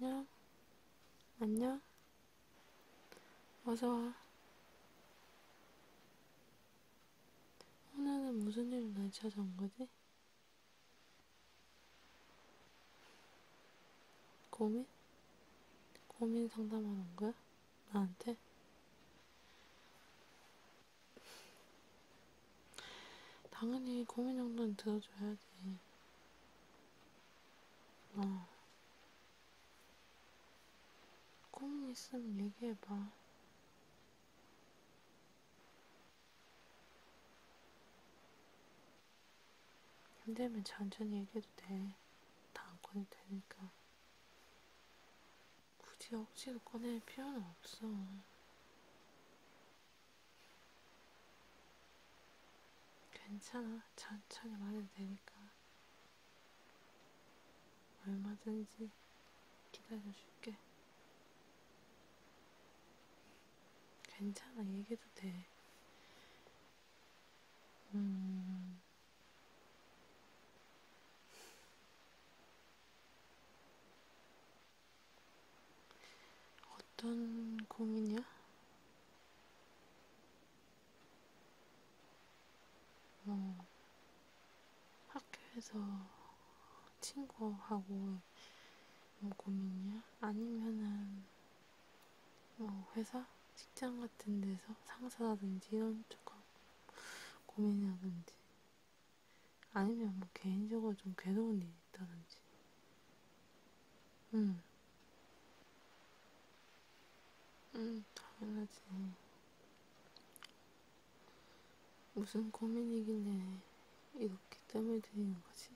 안녕? 안녕? 어서와. 오늘은 무슨 일로 날 찾아온 거지? 고민? 고민 상담하는 거야? 나한테? 당연히 고민 정도는 들어줘야지. 어. 고민 있으면 얘기해봐. 힘들면 천천히 얘기해도 돼. 다안 꺼내도 되니까. 굳이 억지로 꺼낼 필요는 없어. 괜찮아. 천천히 말해도 되니까. 얼마든지 기다려줄게. 괜찮아. 얘기해도 돼. 음... 어떤 고민이야? 어, 학교에서 친구하고 뭐 고민이야? 아니면은 뭐 회사? 직장 같은 데서 상사라든지 이런 쪽하고 고민이라든지 아니면 뭐 개인적으로 좀 괴로운 일이 있다든지. 응. 음. 응, 음, 당연하지. 무슨 고민이길래 이렇게 땀을 들이는 거지?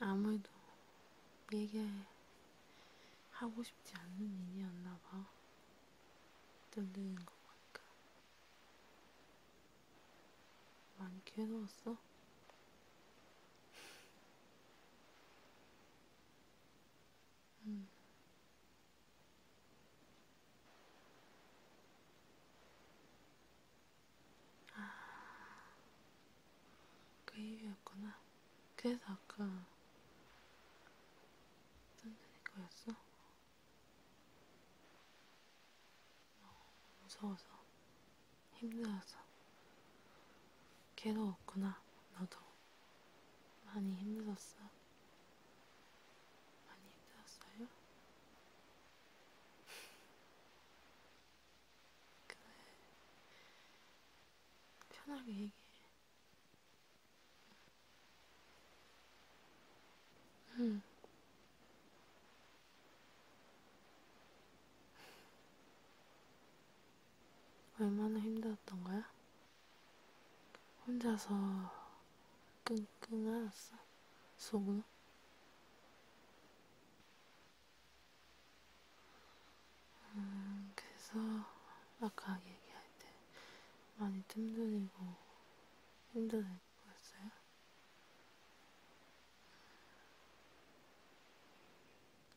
아무래도 얘기하고 싶지 않는 일이었나 봐. 떨리는 거 보니까. 많이 괴로웠어? 음. 아, 그 이유였구나. 그래서 아까 딴데 거였어? 어, 무서워서 힘들어서 괴로웠구나 너도 많이 힘들었어 많이 힘들었어요? 그래 편하게 얘기해 응. 음. 얼마나 힘들었던 거야? 혼자서 끙끙 앓았어? 속으로? 음, 그래서 아까 얘기할 때 많이 뜸들이고 힘들어 보였어요?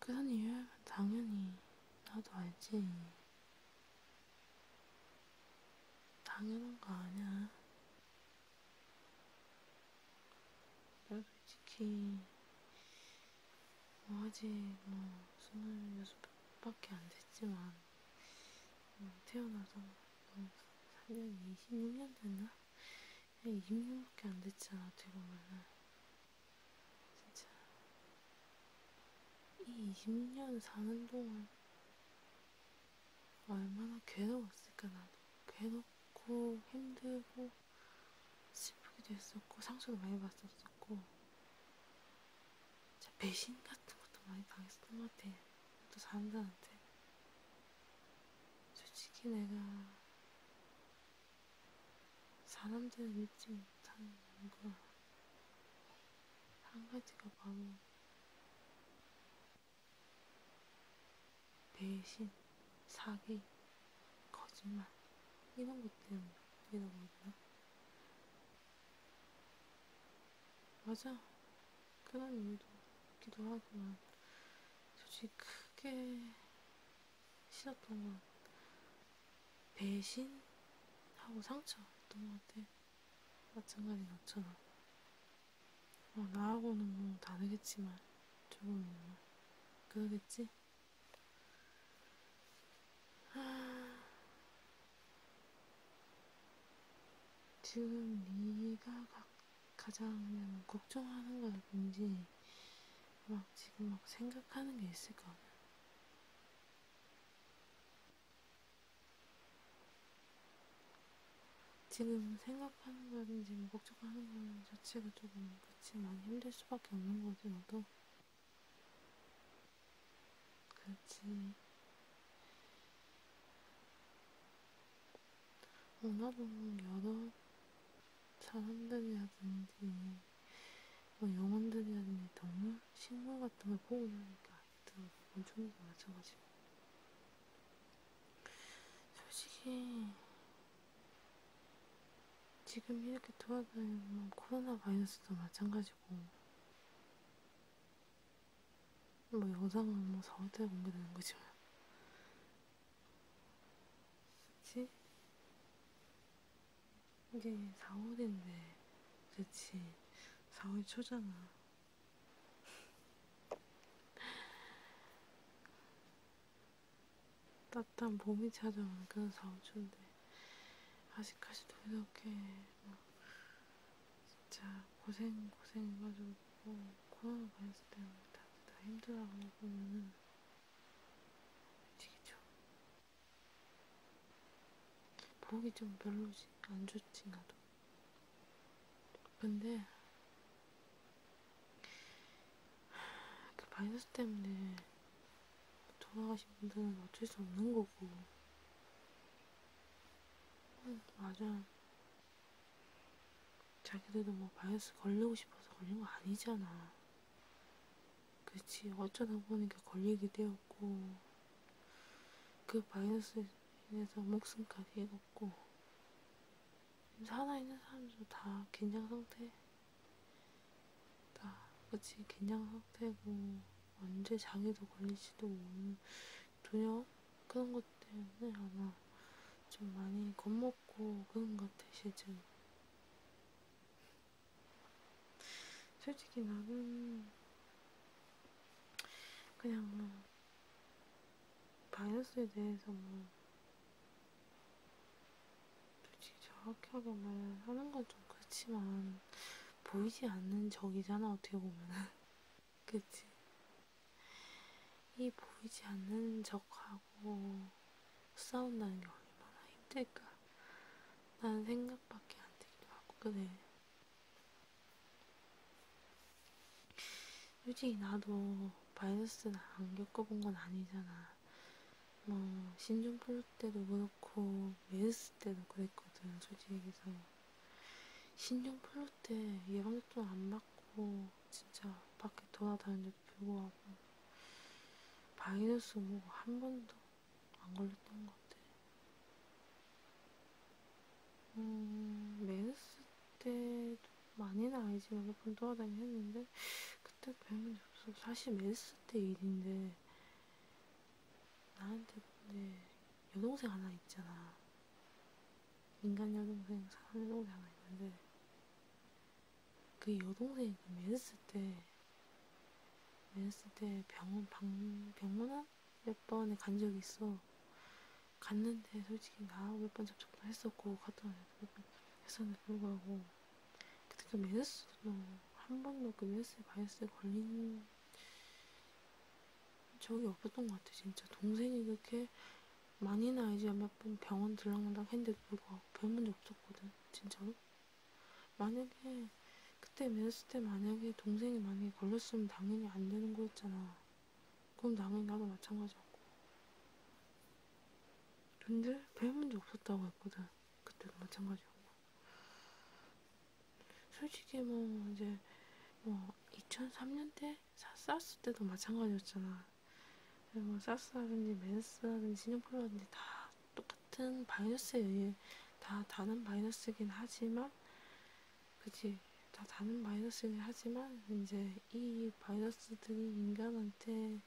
그런 이유면 당연히 나도 알지. 당연한 거 아니야. 나 솔직히 뭐 아직 뭐 스물여섯 밖에 안 됐지만 뭐 태어나서 뭐 3년, 26년 됐나? 26년밖에 안 됐잖아, 어떻게 보면은. 진짜. 이 26년 사는 동안 얼마나 괴로웠을까, 나도. 괴롭고, 힘들고, 슬프기도 했었고, 상처도 많이 받았었어. 있었고 진짜 배신 같은 것도 많이 당했었던 것 같아. 또 사람들한테 솔직히 내가 사람들을 믿지 못하는 걸한 가지가 바로 배신, 사기, 거짓말 이런 것 때문이라고 하나? 맞아. 그런 이유도 있기도 하고만. 솔직히 크게 싫었던 건 배신하고 상처였던 것 같아. 마찬가지 너처럼. 어, 나하고는 뭐 다르겠지만, 조금은 뭐. 그러겠지? 아, 지금 네가 가, 가장 걱정하는 건 뭔지 막 지금 막 생각하는 게 있을 거 아니야. 지금 생각하는 거든지 뭐 걱정하는 거는 자체가 조금 그치만 힘들 수밖에 없는 거지 너도. 그치. 어, 나도 여러 사람들이라든지, 뭐 영혼들이라든지 너무 식물 같은 걸 보고 나니까 아이들하고 종이 맞아가지고. 솔직히, 지금 이렇게 돌아다니면 코로나 바이러스도 마찬가지고, 뭐 영상은 뭐 4월달에 공개되는 거지만 그치? 이게 4월인데 그치 4월 초잖아 따뜻한 봄이 찾아오는 그런 4월 초인데 네. 아직까지도 이렇게 막 뭐 진짜 고생 고생 해가지고 코로나 바이러스 때문에 다들 다 힘들어하고 보면은 미치겠죠. 보기 좀 별로지 안 좋지 나도. 근데 그 바이러스 때문에 돌아가신 분들은 어쩔 수 없는 거고. 응, 음, 맞아. 자기들도 뭐 바이러스 걸리고 싶어서 걸린 거 아니잖아. 그치. 어쩌다 보니까 걸리게 되었고, 그 바이러스에 인해서 목숨까지 잃었고, 살아있는 사람들도 다 긴장 상태. 나 아버지 갱년 상태고 언제 장애도 걸릴지도 모르는 전혀 그런 것 때문에 아마 좀 많이 겁먹고 그런 것 같아 실제로. 솔직히 나는 그냥 뭐 바이러스에 대해서 뭐 솔직히 정확하게 말하는 건 좀 그렇지만 보이지 않는 적이잖아 어떻게 보면은 그치 이 보이지 않는 적하고 싸운다는 게 얼마나 힘들까 난 생각밖에 안 들기도 하고 그래 솔직히 나도 바이러스는 안 겪어본 건 아니잖아 뭐 신종 플루 때도 그렇고 그렇고 메르스 때도 그랬거든 솔직히 얘기해서 신종 플루 때 예방접종 안 받고 진짜 밖에 돌아다니는데도 불구하고 바이러스 뭐 한 번도 안 걸렸던 것 같아 음 메르스 때도 많이는 아니지만 몇 번 돌아다니긴 했는데 그때 별문제 없어 사실 메르스 때 일인데 나한테 근데 여동생 하나 있잖아. 인간 여동생, 사람 여동생 하나 있는데 그 여동생이 그 맺었을 때 맺었을 때 병원 방 병원한 몇 번에 간 적이 있어. 갔는데 솔직히 나하고 몇번 접촉도 했었고 갔다 몇번 했었는데 불구하고 그때 그 메르스도 한 번도 그 메르스 바이러스에 걸린 적이 없었던 것 같아 진짜 동생이 그렇게 많이나 알지 몇 번 병원 들락날락 했는데도 불구하고 별 문제 없었거든 진짜로 만약에 그때 맺었을 때 만약에 동생이 만약에 걸렸으면 당연히 안 되는 거였잖아 그럼 당연히 나도 마찬가지였고 근데 별 문제 없었다고 했거든 그때도 마찬가지였고 솔직히 뭐 이제 뭐 2003년대 사스 때도 마찬가지였잖아. 네, 뭐 사스라든지 맨스라든지 신용플라든지 다 똑같은 바이러스에 의해 다 다른 바이러스긴 하지만 그치 다 다른 바이러스긴 하지만 이제 이 바이러스들이 인간한테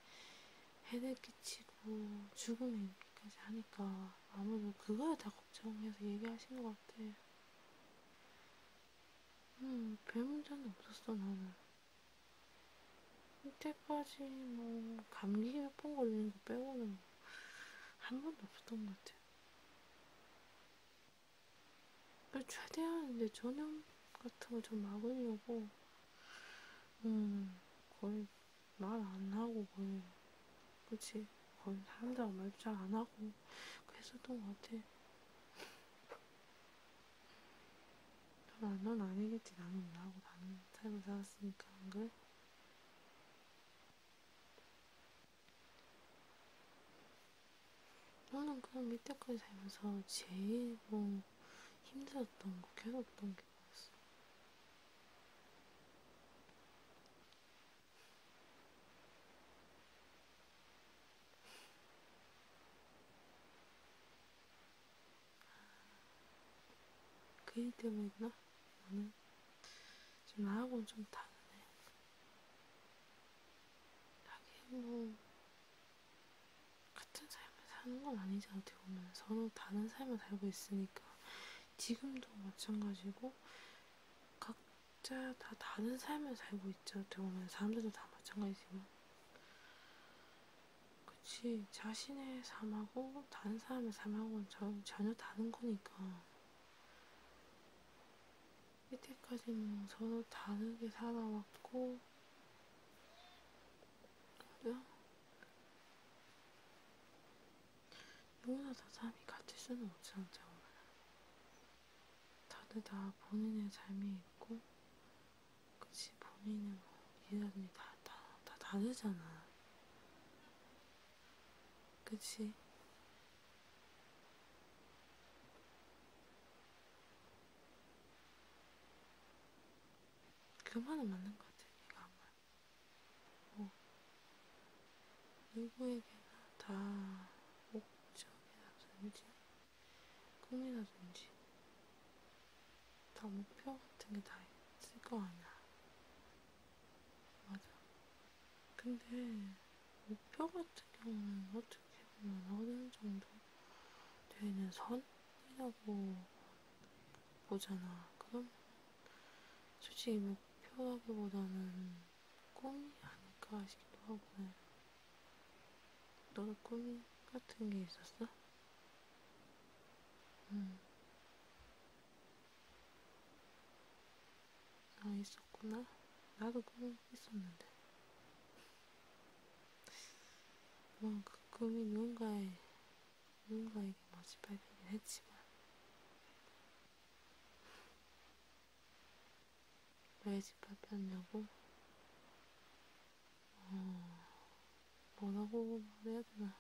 해를 끼치고 죽음에 이까지 하니까 아무래도 그거에 다 걱정해서 얘기하신 것 같아. 음, 별 문제는 없었어, 나는. 이때까지 뭐, 감기 몇 번 걸리는 거 빼고는 뭐한 번도 없었던 것 같아. 최대한 이제 전염 같은 걸좀 막으려고, 음, 거의 말안 하고 거의 그치 거의 사람들하고 말잘안 하고 그랬었던 것 같아. 넌, 넌 아니겠지. 나는 나하고 나는 삶을 살았으니까 안 그래? 나는 그냥 밑에까지 살면서 제일 뭐 힘들었던 거, 괴롭던 게 그일 때문이구나. 나는 지금 나하고는 좀 다르네. 하긴 뭐 같은 삶을 사는 건 아니지 어떻게 보면 서로 다른 삶을 살고 있으니까 지금도 마찬가지고 각자 다 다른 삶을 살고 있죠. 어떻게 보면 사람들도 다 마찬가지지만. 그치. 자신의 삶하고 다른 사람의 삶하고는 전, 전혀 다른 거니까. 이때까지는 서로 다르게 살아왔고, 누구나 다 잠이 같이 쓰는 옷장장 다들 다 본인의 삶이 있고 그치 본인의 뭐 이해하는 다다 다 다르잖아 그치 그 말은 맞는 것 같아 내가 한 말. 뭐 누구에게나 다 목적이라든지 꿈이라든지 다 목표 같은 게 다 있을 거 아니야. 맞아. 근데 목표 같은 경우는 어떻게 보면 어느 정도 되는 선이라고 보잖아. 그럼 솔직히 목표라기보다는 꿈이 아닐까 싶기도 하고 네. 너도 꿈 같은 게 있었어? 응. 음. 아 있었구나. 나도 꿈이 있었는데. 뭔그 뭐 꿈이 누군가의 누군가에게 마치 발견을 했지만 왜 짓밟혔냐고? 어, 뭐라고 말해야 되나?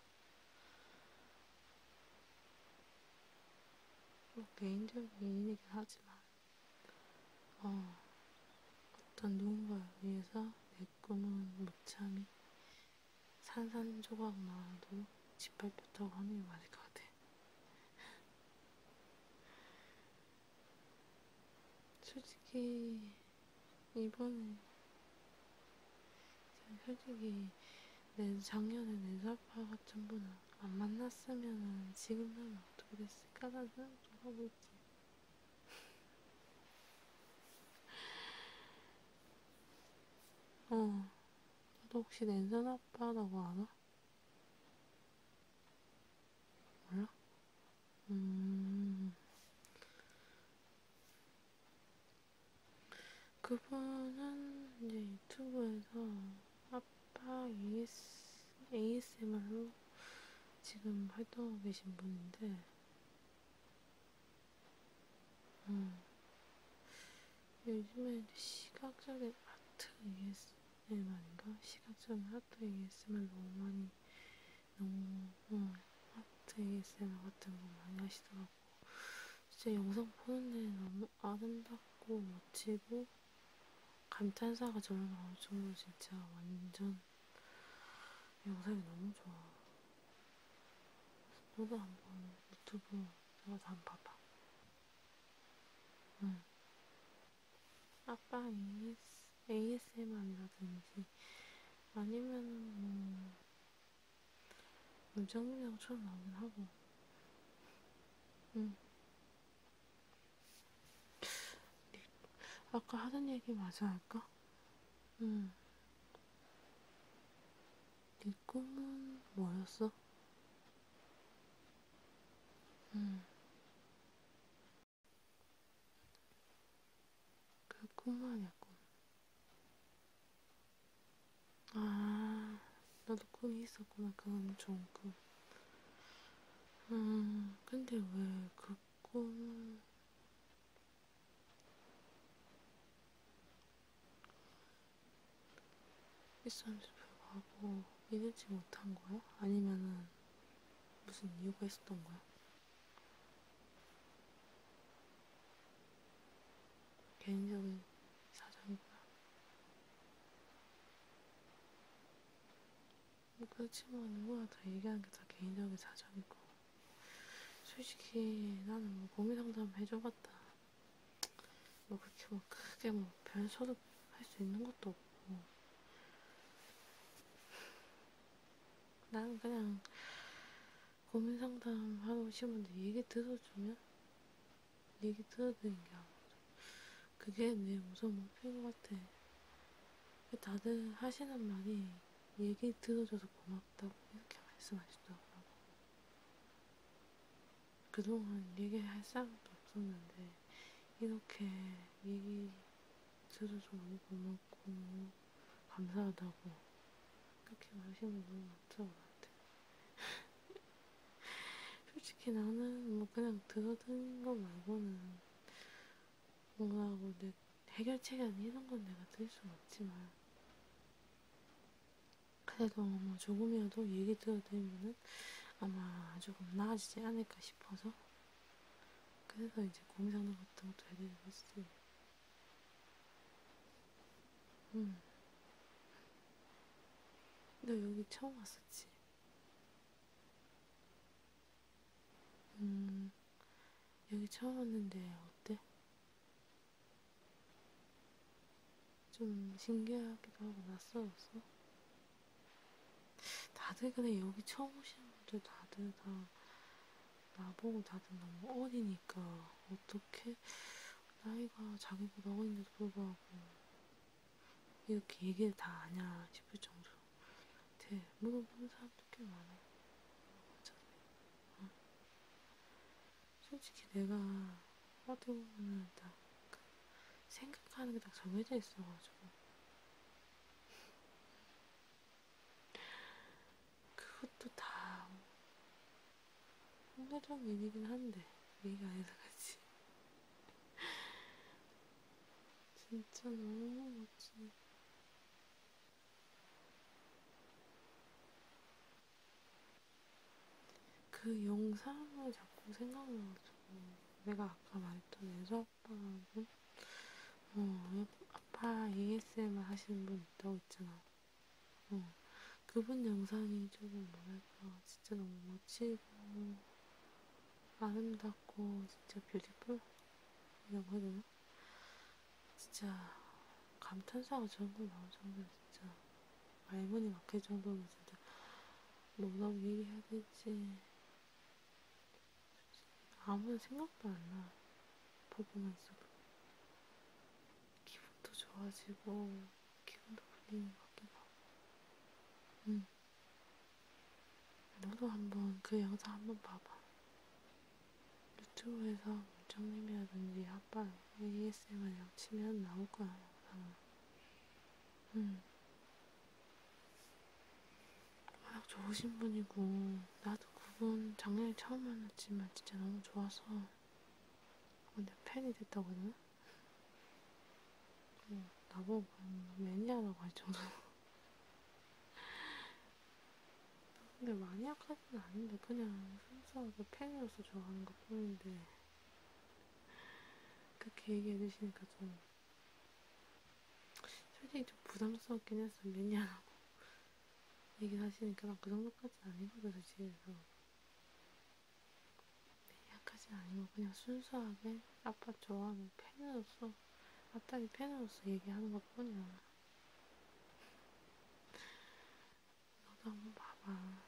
뭐 개인적인 일이긴 하지만 어, 어떤 누군가를 위해서 내 꿈은 무참히 산산조각 나와도 짓밟혔다고 하는 게 맞을 것 같아. 솔직히 이번에 솔직히 내 작년에 내 사파 같은 분을 안 만났으면 지금 나면 어떻게 됐을까라는 생각도 하고 있지. 어, 나도 혹시 낸산 아빠라고 아나? 몰라? 음. 그분은 이제 유튜브에서 아빠 AS, ASMR로 지금 활동하고 계신 분인데, 음. 요즘에 시각적인 아트 ASMR인가? 시각적인 아트 ASMR 너무 많이, 너무, 어, 아트 ASMR 같은 거 많이 하시더라고. 진짜 영상 보는데 너무 아름답고 멋지고, 감탄사가 정말 나올 정도로 진짜 완전 영상이 너무 좋아. 너도 한번 유튜브 영상 안 봐봐. 응. 아빠 AS, ASMR이라든지 아니면 뭐 무정문양처럼 나오긴 하고. 응. 아까 하던 얘기 마저 할까? 응. 네 꿈은 뭐였어? 음. 그꿈 아니야, 꿈. 아, 나도 꿈이 있었구나. 그건 음, 좋은 꿈. 음, 근데 왜 그 꿈, 비싼지 불구하고 믿지 못한 거야? 아니면은 무슨 이유가 있었던 거야? 개인적인 사정인 거야? 뭐 그렇지만 누구나 뭐, 다 얘기하는 게 다 개인적인 사정이고 솔직히 나는 뭐 고민 상담 해줘봤다 뭐 그렇게 뭐 크게 뭐 변소도 할수 있는 것도 없고 난 그냥 고민 상담하러 오신 분들 얘기 들어주면 얘기 들어드리는 게 아무래도 그게 내 우선 목표인 것 같아 그 다들 하시는 말이 얘기 들어줘서 고맙다고 이렇게 말씀하시더라고 그동안 얘기할 생각도 없었는데 이렇게 얘기 들어줘서 너무 고맙고 감사하다고 그렇게 말하시는 분 너무 많더라고 같아. 솔직히 나는 뭐 그냥 들어든 거 말고는 뭔가하고 내 해결책이 아닌 이런 건 내가 들을 수는 없지만 그래도 뭐 조금이라도 얘기 들어드리면은 아마 조금 나아지지 않을까 싶어서 그래서 이제 고민상담 같은 것도 해드리고 있어요. 음. 너 여기 처음 왔었지? 음, 여기 처음 왔는데 어때? 좀 신기하기도 하고 낯설었어. 다들 근데 여기 처음 오시는 분들 다들 다 나보고 다들 너무 어리니까 어떻게 나이가 자기보다 어린데도 불구하고 이렇게 얘기를 다 아냐 싶을 정도로 대 물어보는 사람도 꽤 많아. 맞아. 응. 솔직히 내가 어떻게 보면은 딱 생각하는 게 딱 정해져 있어가지고 그것도 다 상대적 얘기긴 한데 얘기가 아니라 같이 진짜 너무 멋지네. 그 영상을 자꾸 생각나가지고 내가 아까 말했던 예서 아빠하고 어, 아빠 ASMR 하시는 분 있다고 했잖아. 어, 그분 영상이 조금 뭐랄까 진짜 너무 멋지고 아름답고 진짜 뷰티풀 이라고 해야 되나? 진짜 감탄사가 전부 나올 정도로 진짜 말문이 막힐 정도면 진짜 뭐라고 얘기해야 될지 아무 생각도 안 나. 퍼포먼스로. 기분도 좋아지고 기분도 풀리는 것 같기도 하고. 응. 음. 너도 한번 그 영상 한번 봐봐. 유튜브에서 문정님이라든지 아빠 ASMR 양치면 나올 거야. 응. 음. 아, 워낙 좋으신 분이고 나도 그분 작년에 처음 만났지만 진짜 너무 좋아서 근데 어, 팬이 됐다거든? 응, 나보고 매니아라고 할 정도로 근데 마니아까지 팬카는 아닌데 그냥 순수하게 팬으로서 좋아하는 것 뿐인데 그렇게 얘기해 주시니까 좀 솔직히 좀 부담스럽긴 했어 왜냐라고 얘기를 하시니까 난그 정도까지 아니거든 사실 그래서 약하지 아니고 그냥 순수하게 아빠 좋아하는 팬으로서 아빠의 팬으로서 얘기하는 것 뿐이야 너도 한번 봐봐.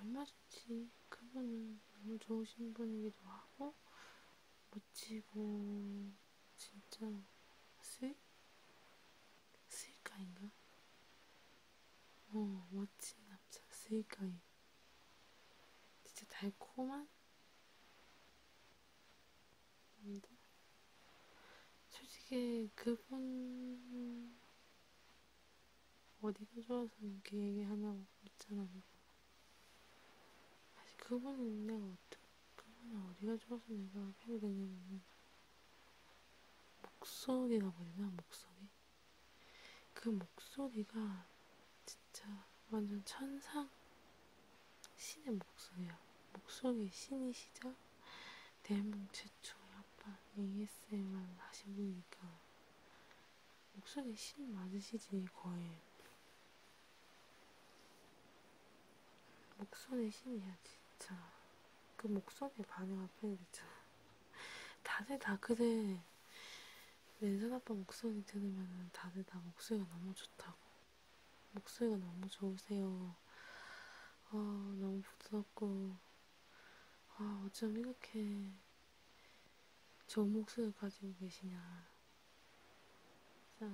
얼마 좋지. 그분은 너무 좋으신 분이기도 하고, 멋지고, 진짜, 스윗? 스윗가인가? 어, 멋진 남자, 스윗가이. 진짜 달콤한? 근데 솔직히 그분 어디가 좋아서 이렇게 얘기하냐고 있잖아요. 사실 그분은 내가 어떻게 그분은 어디가 좋아서 내가 하게 되냐면 목소리가 뭐냐 목소리 그 목소리가 진짜 완전 천상 신의 목소리야. 목소리 신이시죠? 대한민국 최초 약간 ASMR 하신 분이니까 목소리 신 맞으시지 거의 목소리 신이야 진짜 그 목소리 반응 앞에 있잖아 다들 다 그래 내 손아빠 목소리 들으면 다들 다 목소리가 너무 좋다고 목소리가 너무 좋으세요. 아, 너무 부드럽고, 아, 어쩜 이렇게 좋은 목소리를 가지고 계시냐. 자,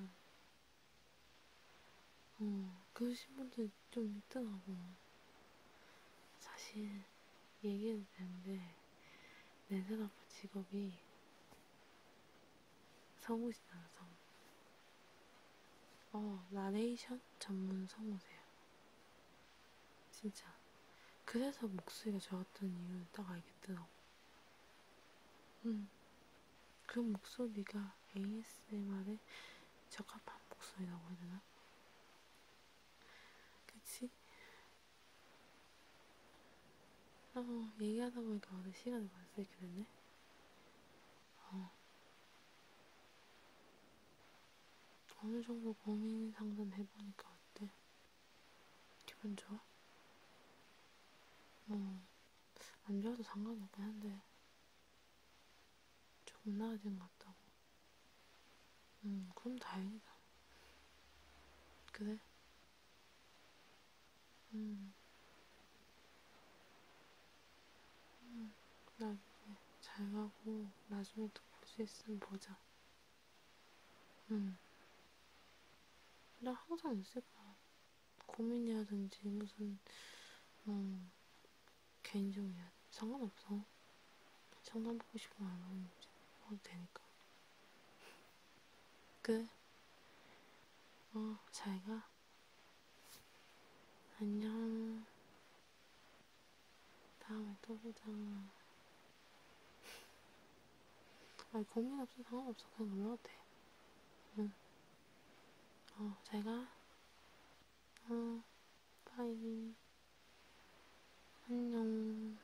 어, 그러신 분들 좀 있더라고. 사실, 얘기해도 되는데, 내생각보 직업이 성우시잖아, 성우. 어, 나레이션 전문 성우세요. 진짜. 그래서 목소리가 좋았던 이유는 딱 알겠더라고. 음, 그 목소리가 ASMR에 적합한 목소리라고 해야 되나? 그치? 어, 얘기하다 보니까 어제 시간이 벌써 이렇게 됐네. 어. 어느 정도 고민 상담 해보니까 어때? 기분 좋아? 뭐, 안 좋아도 상관없긴 한데, 조금 나아진 것 같다고. 음, 그럼 다행이다. 그래? 음, 응, 나중에 잘 가고 나중에 또 볼 수 있으면 보자. 응. 음. 나 항상 있을 거야. 고민이라든지 무슨 음, 개인적이야 상관없어. 상담 받고 싶으면 안 하면 해도 되니까. 그래. 어, 잘 가. 안녕. 다음에 또 보자. 아니, 고민 없어. 상관없어. 그냥 놀러도 돼. 응. 어, 제가. 어, 빠이. 안녕.